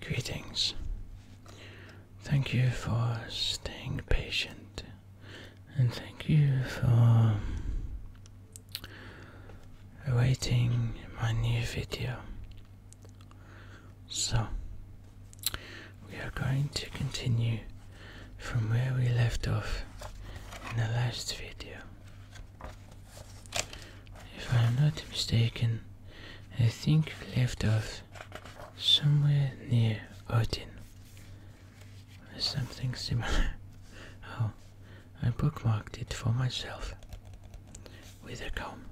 Greetings. Thank you for staying patient, and thank you for awaiting my new video. So, we are going to continue from where we left off in the last video. If I'm not mistaken, I think we left off somewhere near Odin. Or something similar. Oh, I bookmarked it for myself with a comb.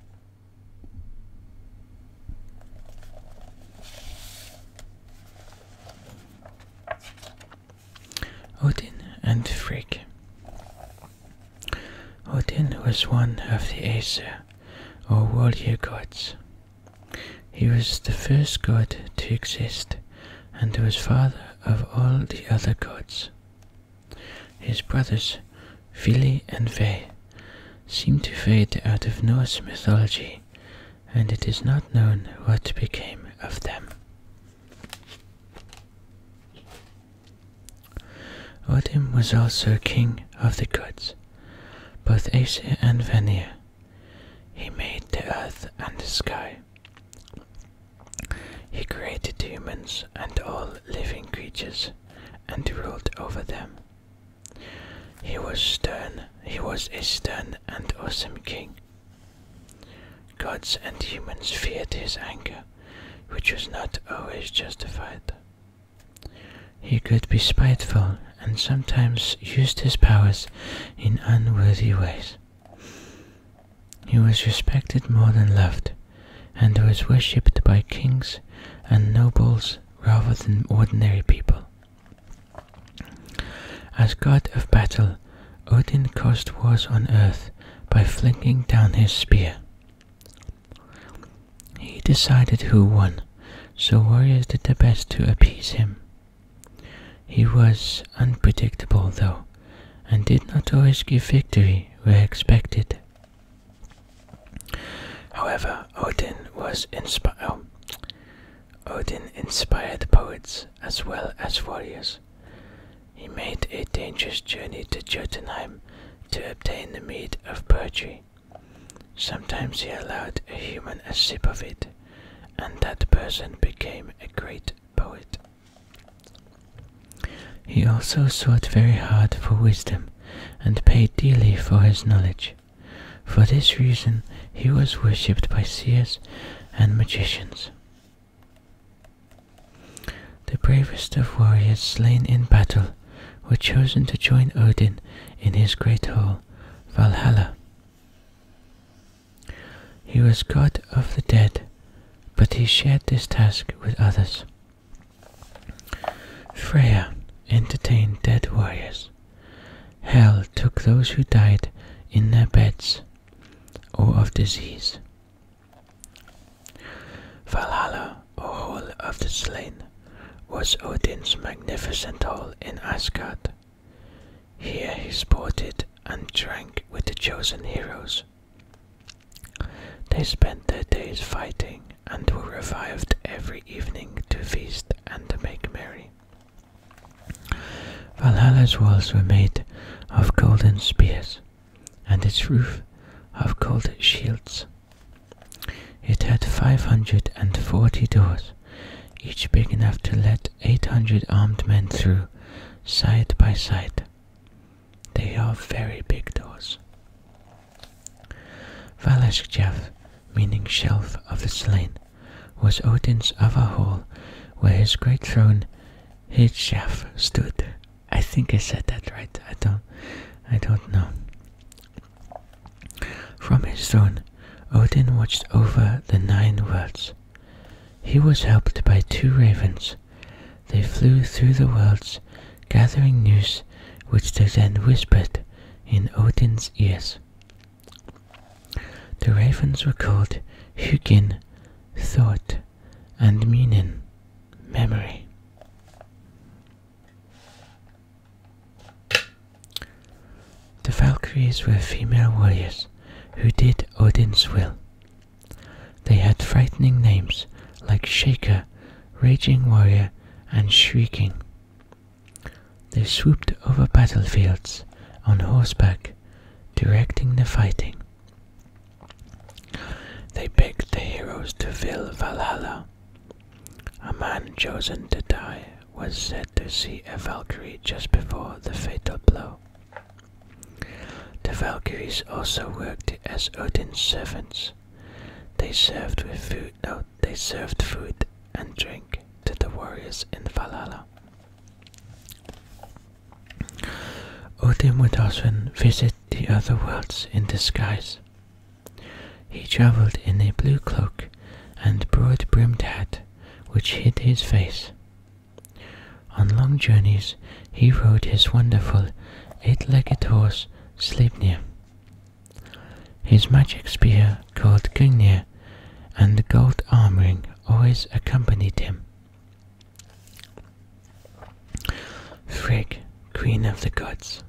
Odin and Frigg. Odin was one of the Aesir, or warrior gods. He was the first god to exist and was father of all the other gods. His brothers, Vili and Ve, seem to fade out of Norse mythology, and it is not known what became of them. Odin was also king of the gods, both Aesir and Vanir. He made the earth and the sky. He created humans and all living creatures and ruled over them. He was stern, he was a stern and awesome king. Gods and humans feared his anger which was not always justified. He could be spiteful and sometimes used his powers in unworthy ways. He was respected more than loved, and was worshipped by kings and nobles rather than ordinary people. As god of battle, Odin caused wars on earth by flinging down his spear. He decided who won, so warriors did their best to appease him. He was unpredictable, though, and did not always give victory where expected. However, Odin was inspired. Oh, Odin inspired poets as well as warriors. He made a dangerous journey to Jotunheim to obtain the mead of poetry. Sometimes he allowed a human a sip of it, and that person became a great poet. He also sought very hard for wisdom, and paid dearly for his knowledge. For this reason he was worshipped by seers and magicians. The bravest of warriors slain in battle were chosen to join Odin in his great hall, Valhalla. He was god of the dead, but he shared this task with others. Freya entertained dead warriors. Hel took those who died in their beds or of disease Valhalla, or Hall of the Slain, was Odin's magnificent hall in Asgard. Here he sported and drank with the chosen heroes. They spent their days fighting and were revived every evening to feast and to make merry. Valhalla's walls were made of golden spears, and its roof of cold shields. It had five hundred and forty doors, each big enough to let eight hundred armed men through, side by side. They are very big doors. Valashjaf, meaning shelf of the slain, was Odin's other hall, where his great throne Hidjaf stood. I think I said that right. I don't I don't know. From his throne, Odin watched over the nine worlds. He was helped by two ravens. They flew through the worlds, gathering news which they then whispered in Odin's ears. The ravens were called Hugin, Thought, and meaning memory. The Valkyries were female warriors who did Odin's will. They had frightening names like Shaker, Raging Warrior, and Shrieking. They swooped over battlefields on horseback, directing the fighting. They picked the heroes to fill Valhalla. A man chosen to die was said to see a Valkyrie just before the fatal blow. The Valkyries also worked as Odin's servants. They served food and drink to the warriors in Valhalla. Odin would often visit the other worlds in disguise. He travelled in a blue cloak and broad brimmed hat which hid his face. On long journeys he rode his wonderful eight legged horse Sleipnir. His magic spear called Gungnir and the gold arm always accompanied him. Frigg, Queen of the Gods.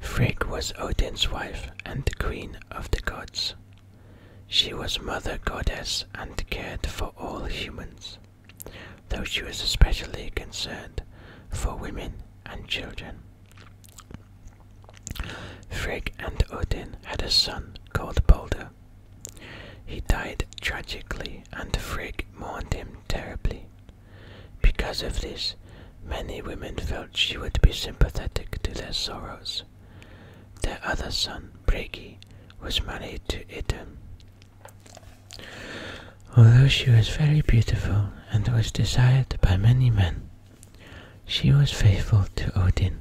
Frigg was Odin's wife and the Queen of the Gods. She was Mother Goddess and cared for all humans, though she was especially concerned for women and children. Frigg and Odin had a son called Balder. He died tragically, and Frigg mourned him terribly. Because of this, many women felt she would be sympathetic to their sorrows. Their other son, Bragi, was married to Idun. Although she was very beautiful and was desired by many men, she was faithful to Odin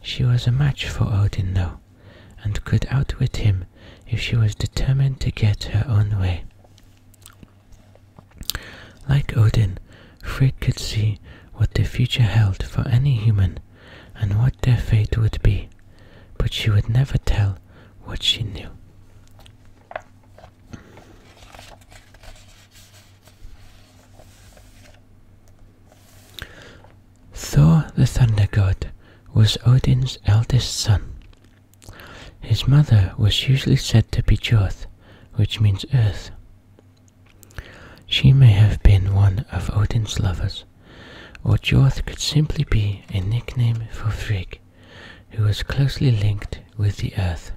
she was a match for Odin, though, and could outwit him if she was determined to get her own way. Like Odin, Frigg could see what the future held for any human and what their fate would be, but she would never tell what she knew. Thor, the thunder god, was Odin's eldest son. His mother was usually said to be Jorth, which means earth. She may have been one of Odin's lovers, or Jorth could simply be a nickname for Frigg, who was closely linked with the earth.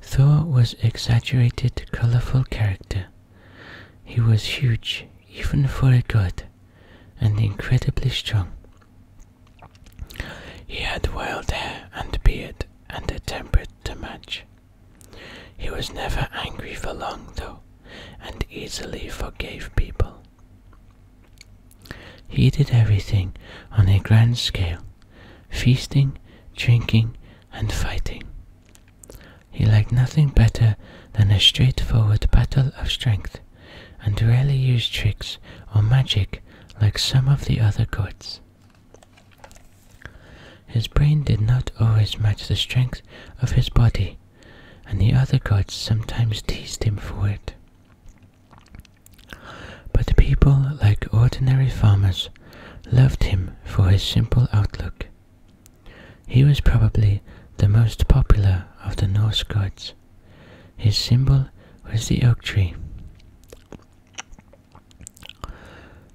Thor was exaggerated, colorful character he was huge, even for a god, and incredibly strong. He had wild hair and beard and a temper to match. He was never angry for long, though, and easily forgave people. He did everything on a grand scale feasting, drinking, and fighting. He liked nothing better than a straightforward battle of strength, and rarely used tricks or magic like some of the other gods. His brain did not always match the strength of his body, and the other gods sometimes teased him for it. But the people, like ordinary farmers, loved him for his simple outlook. He was probably the most popular of the Norse gods. His symbol was the oak tree.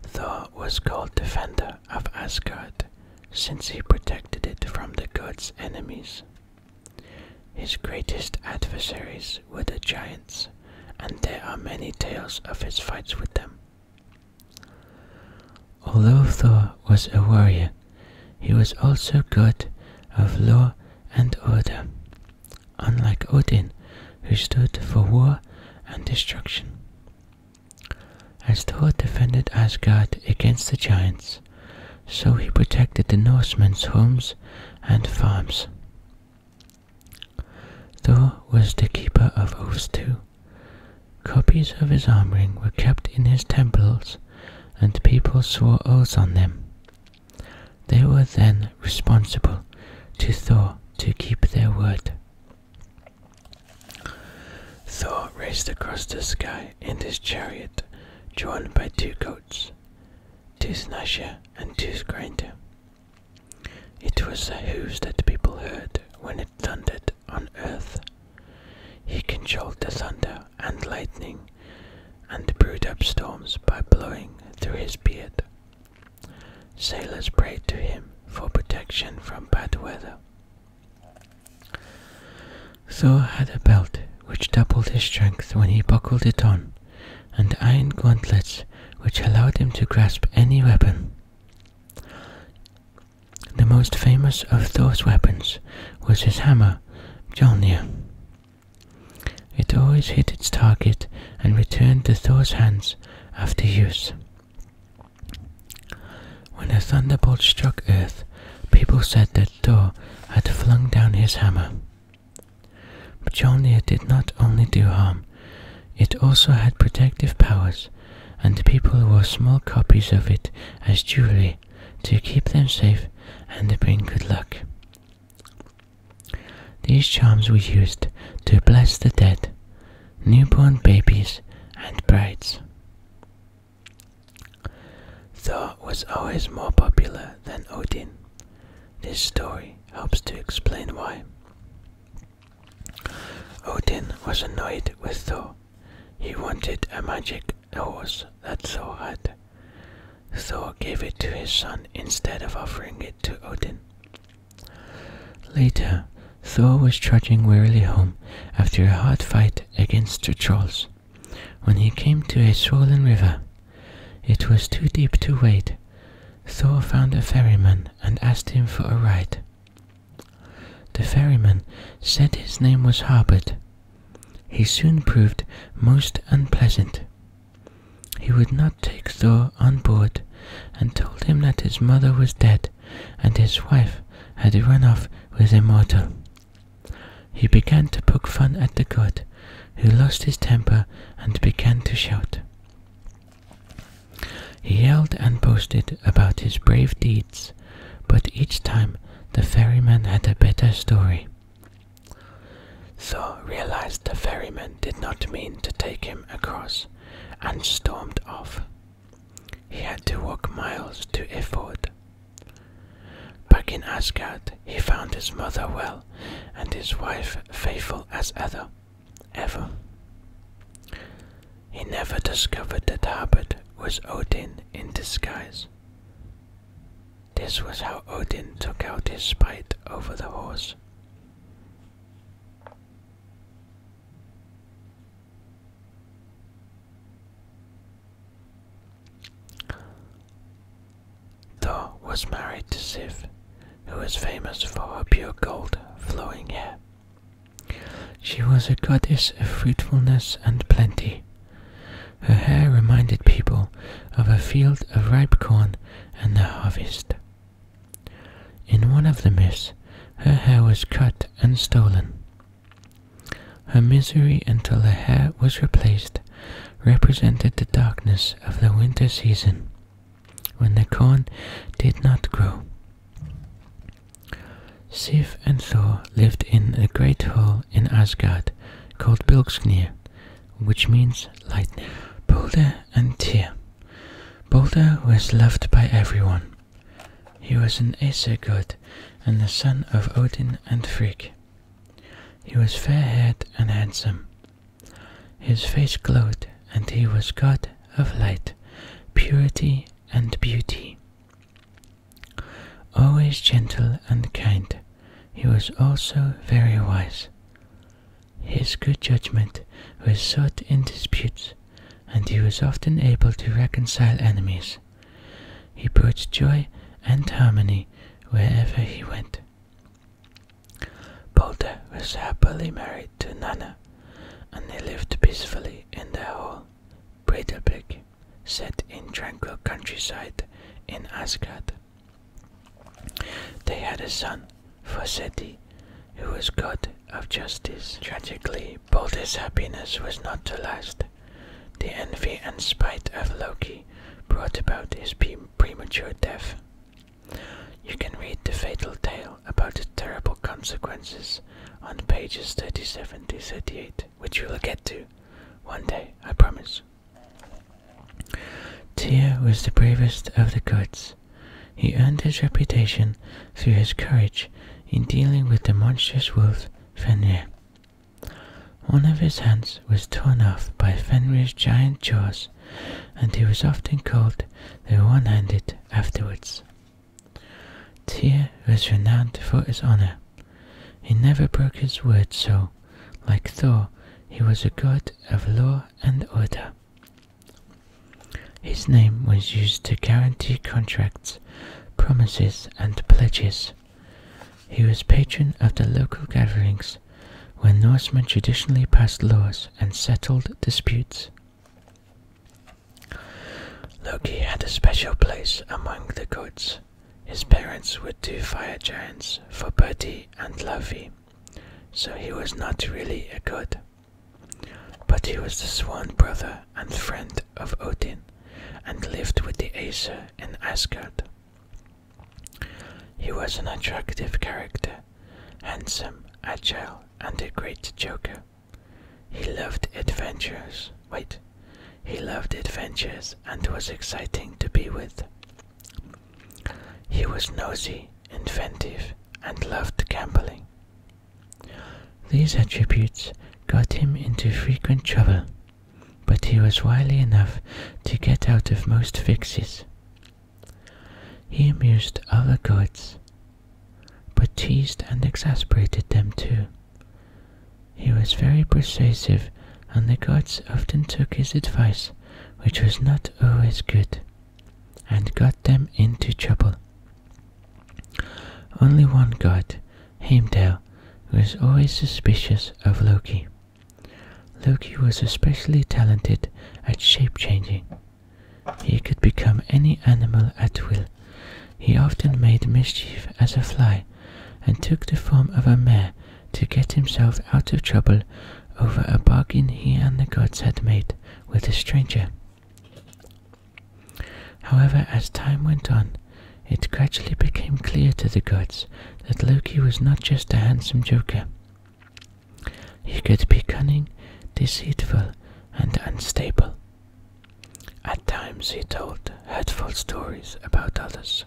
Thor was called Defender of Asgard since he protected it from the gods' enemies. His greatest adversaries were the giants, and there are many tales of his fights with them. Although Thor was a warrior, he was also god of law and order, unlike Odin, who stood for war and destruction. As Thor defended Asgard against the giants, so he protected the Norsemen's homes and farms. Thor was the keeper of oaths too. Copies of his arm ring were kept in his temples, and people swore oaths on them. They were then responsible to Thor to keep their word. Thor raced across the sky in his chariot, drawn by two goats, Snasher and Toothgrinder. It was the hoofs that people heard when it thundered on earth. He controlled the thunder and lightning, and brewed up storms by blowing through his beard. Sailors prayed to him for protection from bad weather. Thor had a belt which doubled his strength when he buckled it on, and iron gauntlets which allowed him to grasp any weapon. The most famous of Thor's weapons was his hammer, Mjolnir. It always hit its target and returned to Thor's hands after use. When a thunderbolt struck Earth, people said that Thor had flung down his hammer. But Mjolnir did not only do harm it also had protective powers, and people wore small copies of it as jewelry to keep them safe and to bring good luck. These charms were used to bless the dead, newborn babies, and brides. Thor was always more popular than Odin. This story helps to explain why. Odin was annoyed with Thor. He wanted a magic horse that Thor had. Thor gave it to his son instead of offering it to Odin. Later, Thor was trudging wearily home after a hard fight against the trolls. When he came to a swollen river, it was too deep to wade. Thor found a ferryman and asked him for a ride. The ferryman said his name was Harbert. He soon proved most unpleasant. He would not take Thor on board, and told him that his mother was dead, and his wife had run off with a mortal. He began to poke fun at the god, who lost his temper and began to shout. He yelled and boasted about his brave deeds, but each time the ferryman had a better story. Thor realized the ferryman did not mean to take him across and stormed off. He had to walk miles to Iford. Back in Asgard, he found his mother well and his wife faithful as ever. Ever. He never discovered that Harbard was Odin in disguise. This was how Odin took out his spite over the horse. Thor was married to Sif, who was famous for her pure gold flowing hair. She was a goddess of fruitfulness and plenty. Her hair reminded people of a field of ripe corn and the harvest. In one of the myths, her hair was cut and stolen. Her misery until the hair was replaced represented the darkness of the winter season when the corn did not grow. Sif and Thor lived in a great hall in Asgard called Bilgsnir, which means lightning. Balder and Tyr. Balder was loved by everyone. He was an Aesir god and the son of Odin and Frigg. He was fair-haired and handsome. His face glowed, and he was God of light, purity, and beauty. Always gentle and kind, he was also very wise. His good judgment was sought in disputes, and he was often able to reconcile enemies. He brought joy and harmony wherever he went. Balder was happily married to Nanna, and they lived peacefully in their hall, Breidablik, set in tranquil countryside in Asgard. They had a son, Forseti, who was god of justice. Tragically, Balder's happiness was not to last. The envy and spite of Loki brought about his premature death. You can read the fatal tale about the terrible consequences on pages 37 to 38, which you will get to one day, I promise. Tyr was the bravest of the gods. He earned his reputation through his courage in dealing with the monstrous wolf Fenrir. One of his hands was torn off by Fenrir's giant jaws and he was often called the One-Handed afterwards. Tyr was renowned for his honor. He never broke his word, so, like Thor, he was a god of law and order. His name was used to guarantee contracts, promises, and pledges. He was patron of the local gatherings, where Norsemen traditionally passed laws and settled disputes. Loki had a special place among the gods. His parents were two fire giants for Bertie and Laufey, so he was not really a god. But he was the sworn brother and friend of Odin and lived with the Aesir in Asgard. He was an attractive character, handsome, agile, and a great Joker. He loved adventures. Wait. He loved adventures and was exciting to be with. He was nosy, inventive, and loved gambling. These attributes got him into frequent trouble, but he was wily enough to get out of most fixes. He amused other gods, but teased and exasperated them too. He was very persuasive, and the gods often took his advice, which was not always good, and got them into trouble. Only one god, Heimdall, was always suspicious of Loki. Loki was especially talented at shape changing. He could become any animal at will. He often made mischief as a fly, and took the form of a mare to get himself out of trouble over a bargain he and the gods had made with a stranger. However, as time went on, it gradually became clear to the gods that Loki was not just a handsome joker. He could be cunning, deceitful, and unstable. At times he told hurtful stories about others.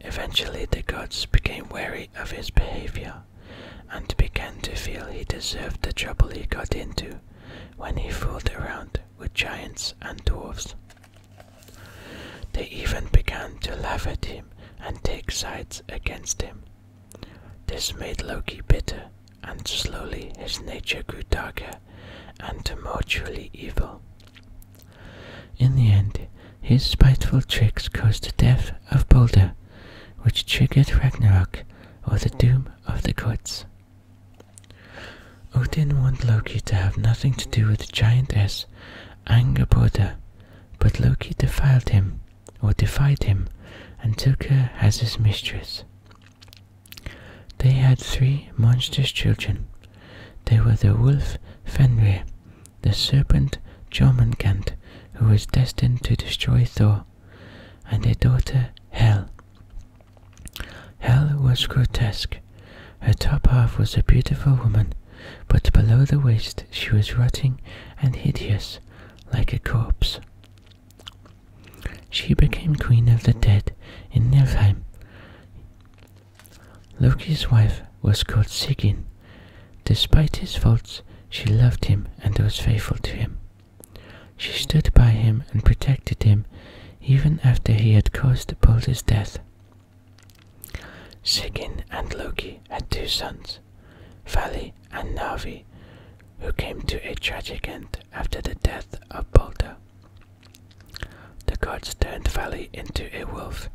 Eventually the gods became wary of his behavior and began to feel he deserved the trouble he got into when he fooled around with giants and dwarfs. They even began to laugh at him and take sides against him. This made Loki bitter, and slowly his nature grew darker and tumultuously evil. In the end, his spiteful tricks caused the death of Balder, which triggered Ragnarok or the doom of the gods. Odin wanted Loki to have nothing to do with the giantess Angerboda, but Loki defiled him, or defied him, and took her as his mistress. They had three monstrous children. They were the wolf Fenrir, the serpent Jormungand, who was destined to destroy Thor, and a daughter Hel. Hel was grotesque. Her top half was a beautiful woman but below the waist she was rotting and hideous, like a corpse. She became queen of the dead in Niflheim. Loki's wife was called Sigyn. Despite his faults, she loved him and was faithful to him. She stood by him and protected him even after he had caused Balder's death. Sigyn and Loki had two sons, Vali and Navi, who came to a tragic end after the death of Balder. The gods turned Vali into a wolf,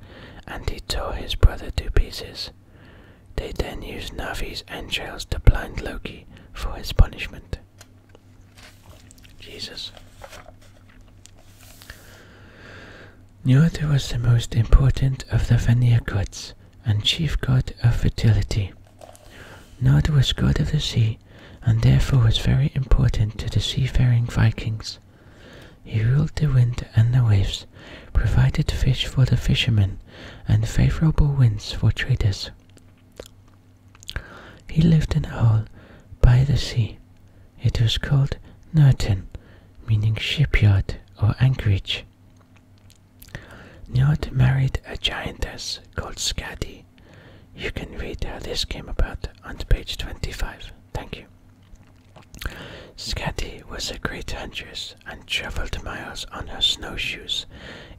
and he tore his brother to pieces. They then used Navi's entrails to blind Loki for his punishment. Jesus. Njord was the most important of the Vanir gods and chief god of fertility. Nod was god of the sea and therefore was very important to the seafaring Vikings. He ruled the wind and the waves, provided fish for the fishermen, and favorable winds for traders. He lived in a hall by the sea, it was called Norten, meaning shipyard or anchorage. Njord married a giantess called Skadi. You can read how this came about on page 25. Thank you. Skadi was a great huntress and travelled miles on her snowshoes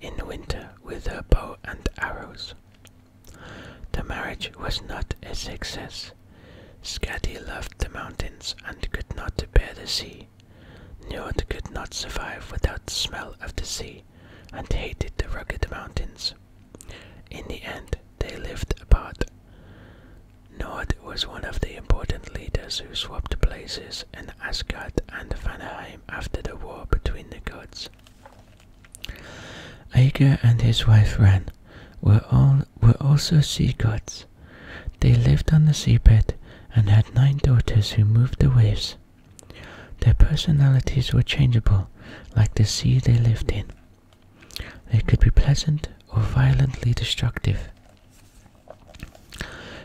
in winter with her bow and arrows. The marriage was not a success, Skadi loved the mountains and could not bear the sea. Nord could not survive without the smell of the sea and hated the rugged mountains. In the end, they lived apart. Nord was one of the important leaders who swapped places in Asgard and Vanheim after the war between the gods. Ægir and his wife Ran were all were also sea gods. They lived on the seabed and had nine daughters who moved the waves. Their personalities were changeable, like the sea they lived in. They could be pleasant or violently destructive.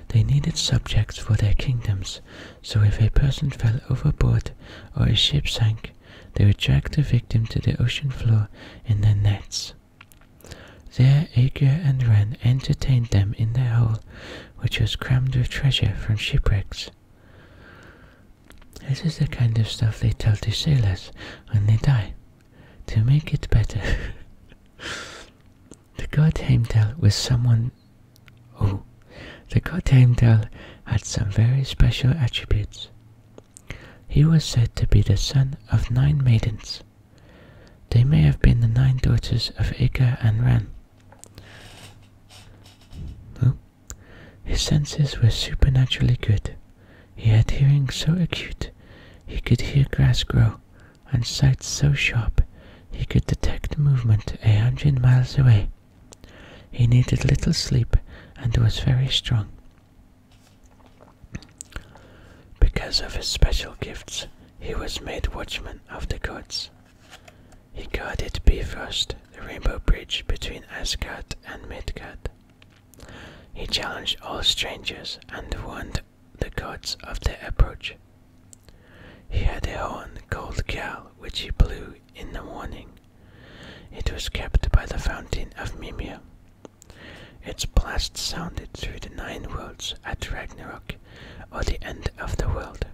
They needed subjects for their kingdoms, so if a person fell overboard or a ship sank, they would drag the victim to the ocean floor in their nets. There Aegir and Ren entertained them in their hall, which was crammed with treasure from shipwrecks. This is the kind of stuff they tell the sailors when they die, to make it better. the god Heimdall was someone. Oh, the god Heimdall had some very special attributes. He was said to be the son of nine maidens. They may have been the nine daughters of Ica and Ran. His senses were supernaturally good. He had hearing so acute he could hear grass grow, and sight so sharp he could detect movement a hundred miles away. He needed little sleep and was very strong. Because of his special gifts, he was made watchman of the gods. He guarded Bifrost, the rainbow bridge between Asgard and Midgard. He challenged all strangers and warned the gods of their approach. He had a horn gold cow, which he blew in the morning. It was kept by the fountain of Mimir, its blast sounded through the nine worlds at Ragnarok, or the end of the world.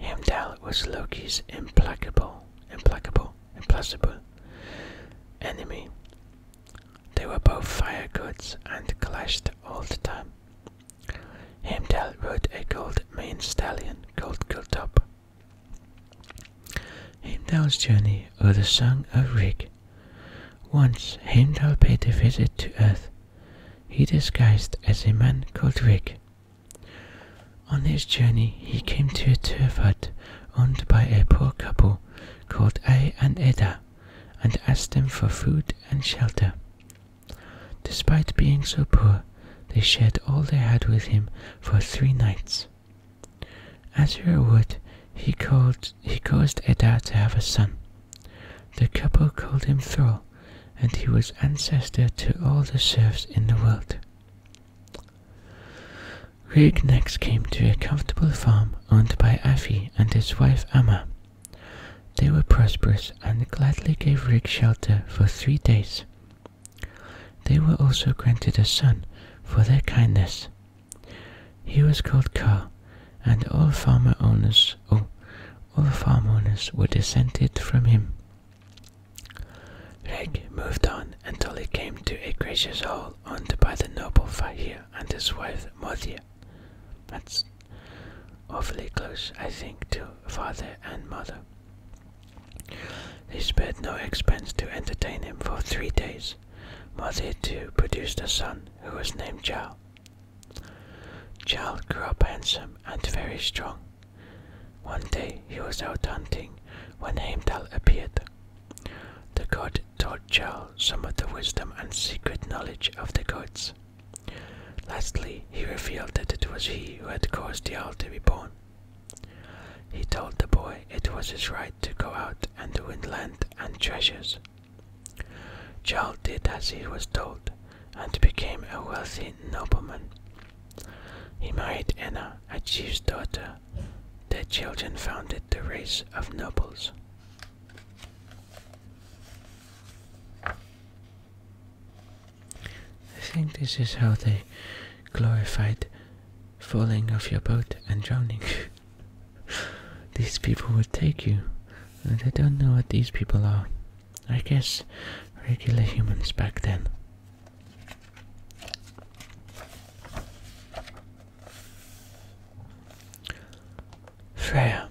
Heimdall was Loki's implacable, implacable, implacable enemy. They were both fire gods and clashed all the time. Heimdall rode a gold mane stallion called Gultop, Heimdall's Journey or the Song of Rig. Once Heimdall paid a visit to Earth. He disguised as a man called Rig. On his journey, he came to a turf hut owned by a poor couple called Ai and Edda and asked them for food and shelter. Despite being so poor, they shared all they had with him for three nights. As Hereward, he he caused Eddar to have a son. The couple called him Thrall, and he was ancestor to all the serfs in the world. Rig next came to a comfortable farm owned by Afi and his wife Amma. They were prosperous and gladly gave Rig shelter for three days, they were also granted a son for their kindness. He was called Car, and all farmer owners oh, all farm owners were descended from him. Reg moved on until he came to a gracious hall owned by the noble Fahir and his wife Mothia. That's awfully close, I think, to father and mother. They spared no expense to entertain him for three days. Mother too produced a son who was named Zhao. Zhao grew up handsome and very strong. One day he was out hunting when Heimdall appeared. The god taught Zhao some of the wisdom and secret knowledge of the gods. Lastly, he revealed that it was he who had caused Jarl to be born. He told the boy it was his right to go out and win land and treasures. Charles did as he was told and became a wealthy nobleman. He married Anna, a chief's daughter. Their children founded the race of nobles. I think this is how they glorified falling off your boat and drowning. these people would take you. And uh, I don't know what these people are. I guess regular humans back then. Freya.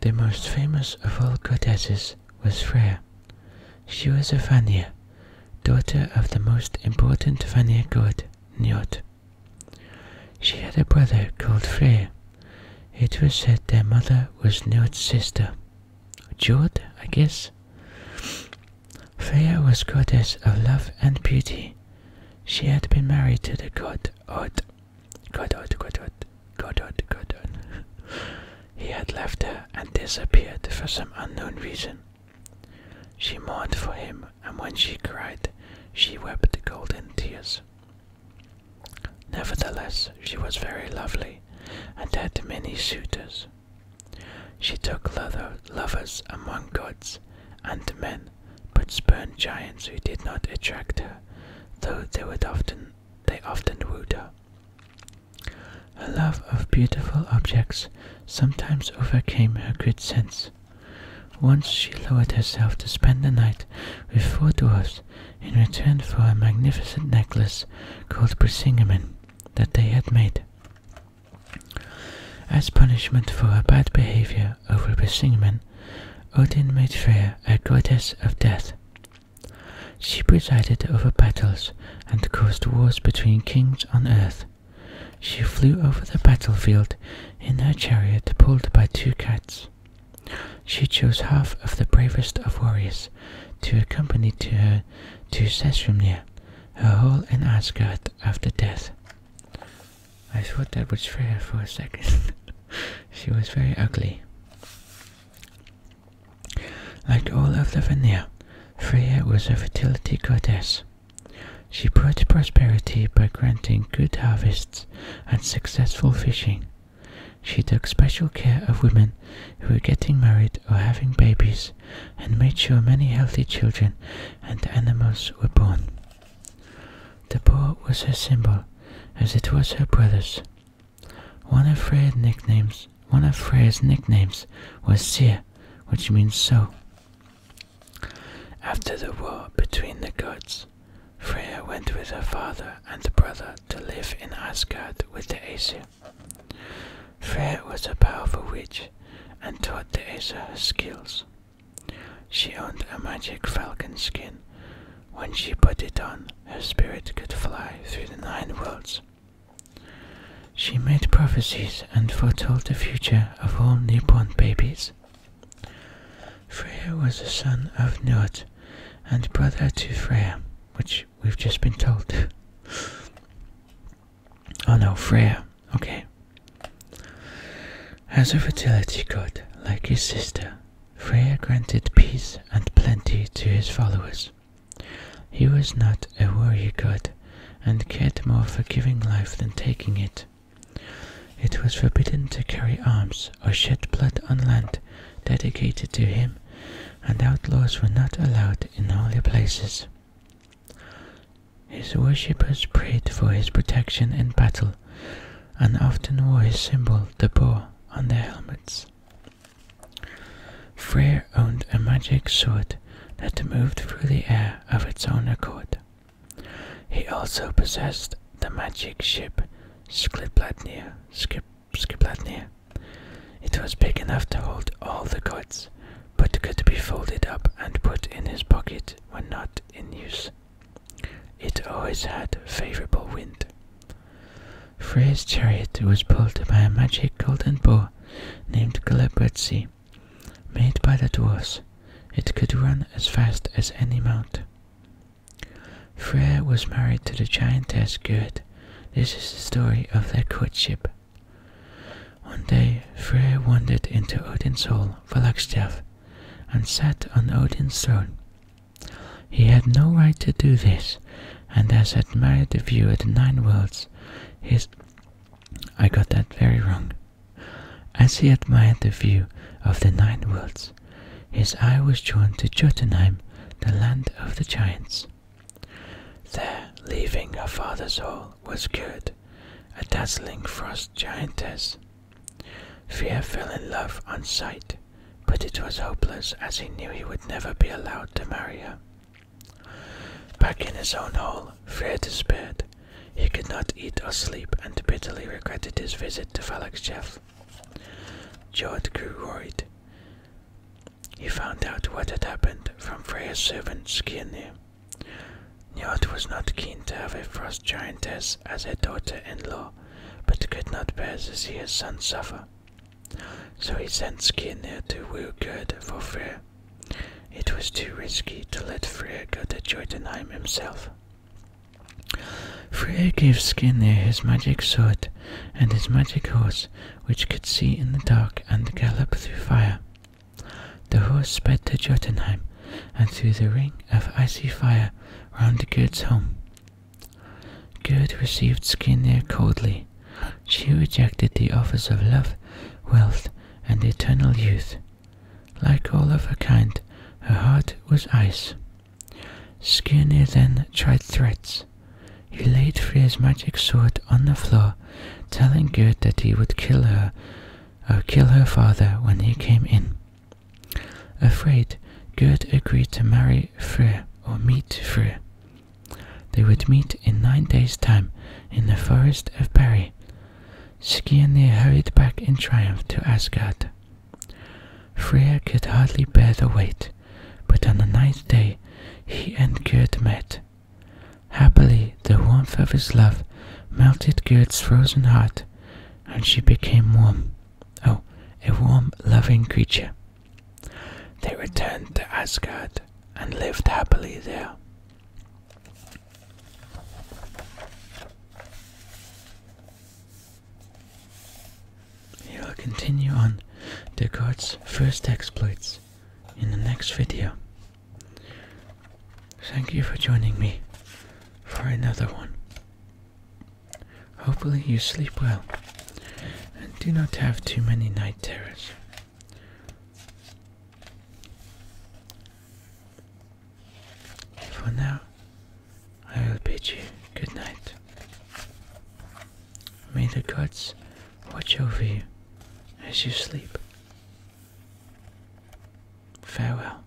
The most famous of all goddesses was Freya. She was a Vanir, daughter of the most important Vanir-god, Njord. She had a brother called Freyr. It was said their mother was Njord's sister. Jord, I guess. Freya was goddess of love and beauty. She had been married to the god Od. God Od, God Od, God Od, God Od. he had left her and disappeared for some unknown reason. She mourned for him, and when she cried, she wept golden tears. Nevertheless, she was very lovely, and had many suitors. She took lovers among gods and men, but spurned giants who did not attract her, though they often they often wooed her. Her love of beautiful objects sometimes overcame her good sense. Once she lowered herself to spend the night with four dwarfs in return for a magnificent necklace called Brisingamen that they had made. As punishment for her bad behavior over Brisingamen, Odin made Freya a goddess of death. She presided over battles and caused wars between kings on earth. She flew over the battlefield in her chariot pulled by two cats. She chose half of the bravest of warriors to accompany to her to Sesrumnir, her hall in Asgard after death. I thought that was fair for a second. she was very ugly. Like all of the Lavinia, Freya was a fertility goddess. She brought prosperity by granting good harvests and successful fishing. She took special care of women who were getting married or having babies and made sure many healthy children and animals were born. The boar was her symbol, as it was her brother's. One of Freya's nicknames one of Freya's nicknames was Seer, which means "so." After the war between the gods, Freya went with her father and brother to live in Asgard with the Aesir. Freya was a powerful witch and taught the Aesir her skills. She owned a magic falcon skin. When she put it on, her spirit could fly through the nine worlds she made prophecies and foretold the future of all newborn babies. Freya was the son of Nut and brother to Freya, which we've just been told. oh no, Freya, okay. As a fertility god, like his sister, Freya granted peace and plenty to his followers. He was not a warrior god, and cared more for giving life than taking it. It was forbidden to carry arms or shed blood on land dedicated to him, and outlaws were not allowed in holy places. His worshippers prayed for his protection in battle, and often wore his symbol, the bow, on their helmets. Freyr owned a magic sword that moved through the air of its own accord. He also possessed the magic ship Skidbladnir. Skidbladnir. It was big enough to hold all the gods, but could be folded up and put in his pocket when not in use. It always had favorable wind. Freya's chariot was pulled by a magic golden bull, named Glebretzi, made by the dwarfs. It could run as fast as any mount. Freya was married to the giantess Gerd. This is the story of their courtship. One day Freya wandered into Odin's hall, Valakstjav, and sat on Odin's throne. He had no right to do this, and as admired the view of the nine worlds, his. I got that very wrong. As he admired the view of the nine worlds, his eye was drawn to Jotunheim, the land of the giants. There, leaving her father's hall, was Gerd, a dazzling frost giantess. Fear fell in love on sight, but it was hopeless as he knew he would never be allowed to marry her. Back in his own hall, Freydis his bed, he could not eat or sleep and bitterly regretted his visit to Valakchev. George grew worried. He found out what had happened from Freya's servant Skirnir. Njord was not keen to have a frost giantess as her daughter-in-law, but could not bear to see his son suffer. So he sent Skinnir to woo for Freyr. It was too risky to let Freyr go to Jotunheim himself. Freyr gave Skinnir his magic sword and his magic horse, which could see in the dark and gallop through fire. The horse sped to Jotunheim and through the ring of icy fire round Gerd's home. Gerd received Skinnir coldly she rejected the offers of love, wealth, and eternal youth. Like all of her kind, her heart was ice. Skirnir then tried threats. He laid Freyr's magic sword on the floor, telling Gerd that he would kill her or kill her father when he came in. Afraid, Gerd agreed to marry Freyr or meet Freyr. They would meet in nine days' time in the forest of Berry. Skirnir hurried back in triumph to Asgard. Freya could hardly bear the wait, but on the ninth day he and Gerd met. Happily, the warmth of his love melted Gerd's frozen heart, and she became warm. Oh, a warm, loving creature. They returned to Asgard and lived happily there. We will continue on the god's first exploits in the next video. Thank you for joining me for another one. Hopefully, you sleep well and do not have too many night terrors. For now, I will bid you good night. May the gods watch over you as you sleep. Farewell.